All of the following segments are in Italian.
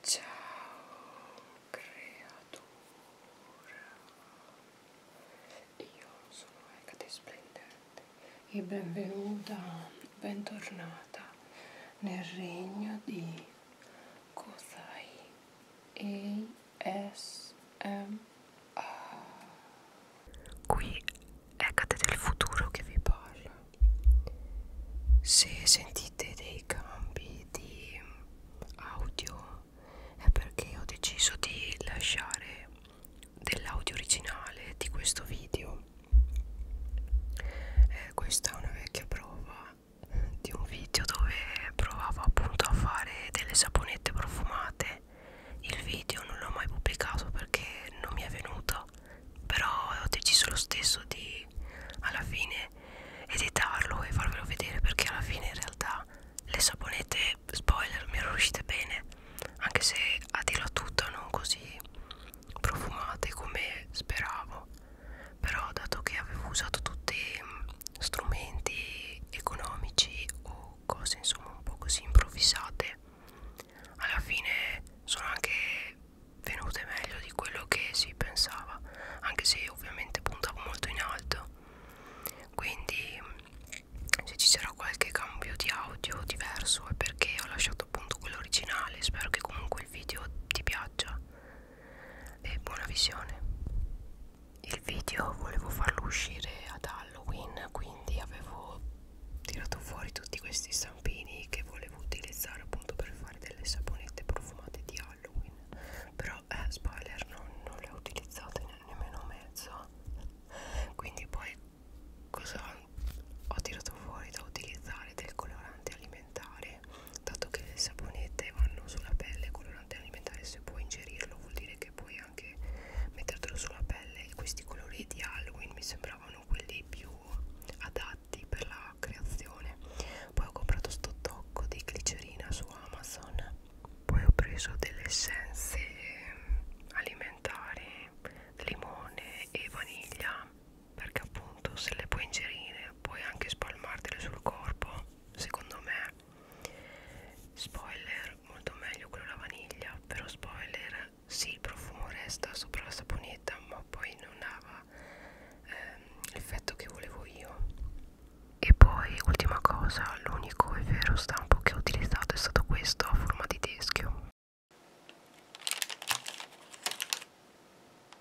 Ciao creatura, io sono Ecate Splendente e benvenuta, bentornata nel regno di Kozai ASMR. Qui Ecate del futuro che vi parla se sentite dei cambi di audio è perché ho deciso di lasciare dell'audio originale di questo video eh, questa è una vecchia prova eh, di un video dove provavo appunto a fare delle saponette profumate il video non l'ho mai pubblicato perché non mi è venuta so però ho deciso lo stesso di alla fine editarlo e farvelo vedere perché alla fine in realtà le saponette spoiler mi erano uscite bene anche se a dirla tutta non così profumate come speravo però dato che avevo usato tutti mm, strumenti economici o cose insomma un po' così improvvisate alla fine sono anche venute meglio di quello che si pensava anche se ovviamente puntavo molto in alto quindi se ci sarà qualche cambio di audio diverso è perché ho lasciato appunto quello originale spero che comunque il video ti piaccia e buona visione il video volevo farlo uscire ad Halloween quindi avevo tirato fuori tutti questi stampini che volevo utilizzare appunto per fare delle saponette profumate di Halloween però eh, spoiler non, non le ho utilizzate ne nemmeno mezzo quindi poi cosa ho tirato fuori da utilizzare del colorante alimentare dato che le saponette vanno sulla pelle colorante colorante alimentare se puoi ingerirlo vuol dire che puoi anche mettertelo sulla pelle e questi colori di Halloween mi sembravano quelli più adatti per la creazione poi ho comprato sto tocco di glicerina su Amazon poi ho preso delle essenze ehm, alimentari limone e vaniglia perché appunto se le puoi ingerire puoi anche spalmartele sul corpo secondo me spoiler molto meglio quello alla vaniglia però spoiler sì il profumo resta sopra la saponetta ma poi non dava ehm, l'effetto che volevo io e poi ultima cosa l'unico e vero stampo che ho utilizzato è stato questo a forma di teschio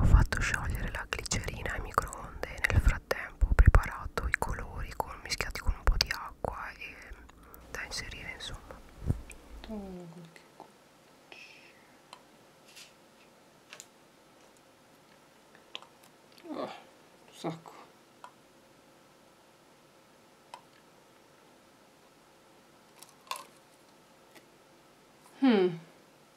Ho fatto sciogliere la glicerina ai microonde e nel frattempo ho preparato i colori con, mischiati con un po' di acqua e da inserire insomma mm, oh, sacco mm,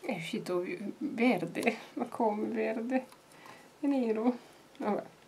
è uscito verde ma come verde è nero vabbè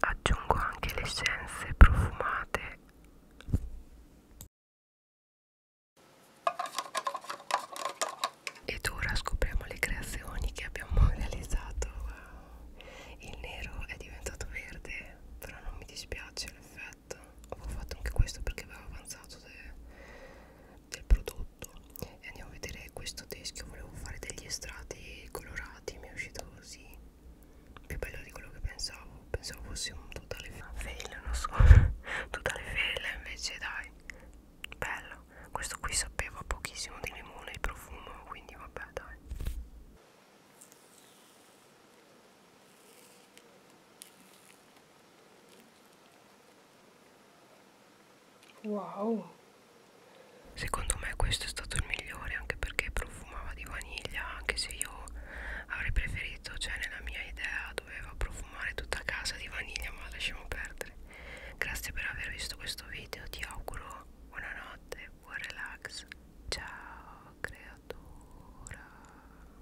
Aggiungo anche le essenze profumate. Ed ora scopriamo le creazioni che abbiamo realizzato. Wow. Il nero è diventato verde, però non mi dispiace l'effetto. Ho fatto anche questo perché avevo avanzato de del prodotto e andiamo a vedere questo teschio volevo fare degli estratti colorati mi è uscito così più bello di quello che pensavo pensavo fosse un totale fail non so totale fail invece dai bello questo qui sapeva pochissimo di limone il profumo quindi vabbè dai Wow. Secondo me questo è stato il migliore anche perché profumava di vaniglia, anche se io avrei preferito, cioè nella mia idea doveva profumare tutta casa di vaniglia, ma lasciamo perdere. Grazie per aver visto questo video, ti auguro buonanotte, buon relax. Ciao creatura.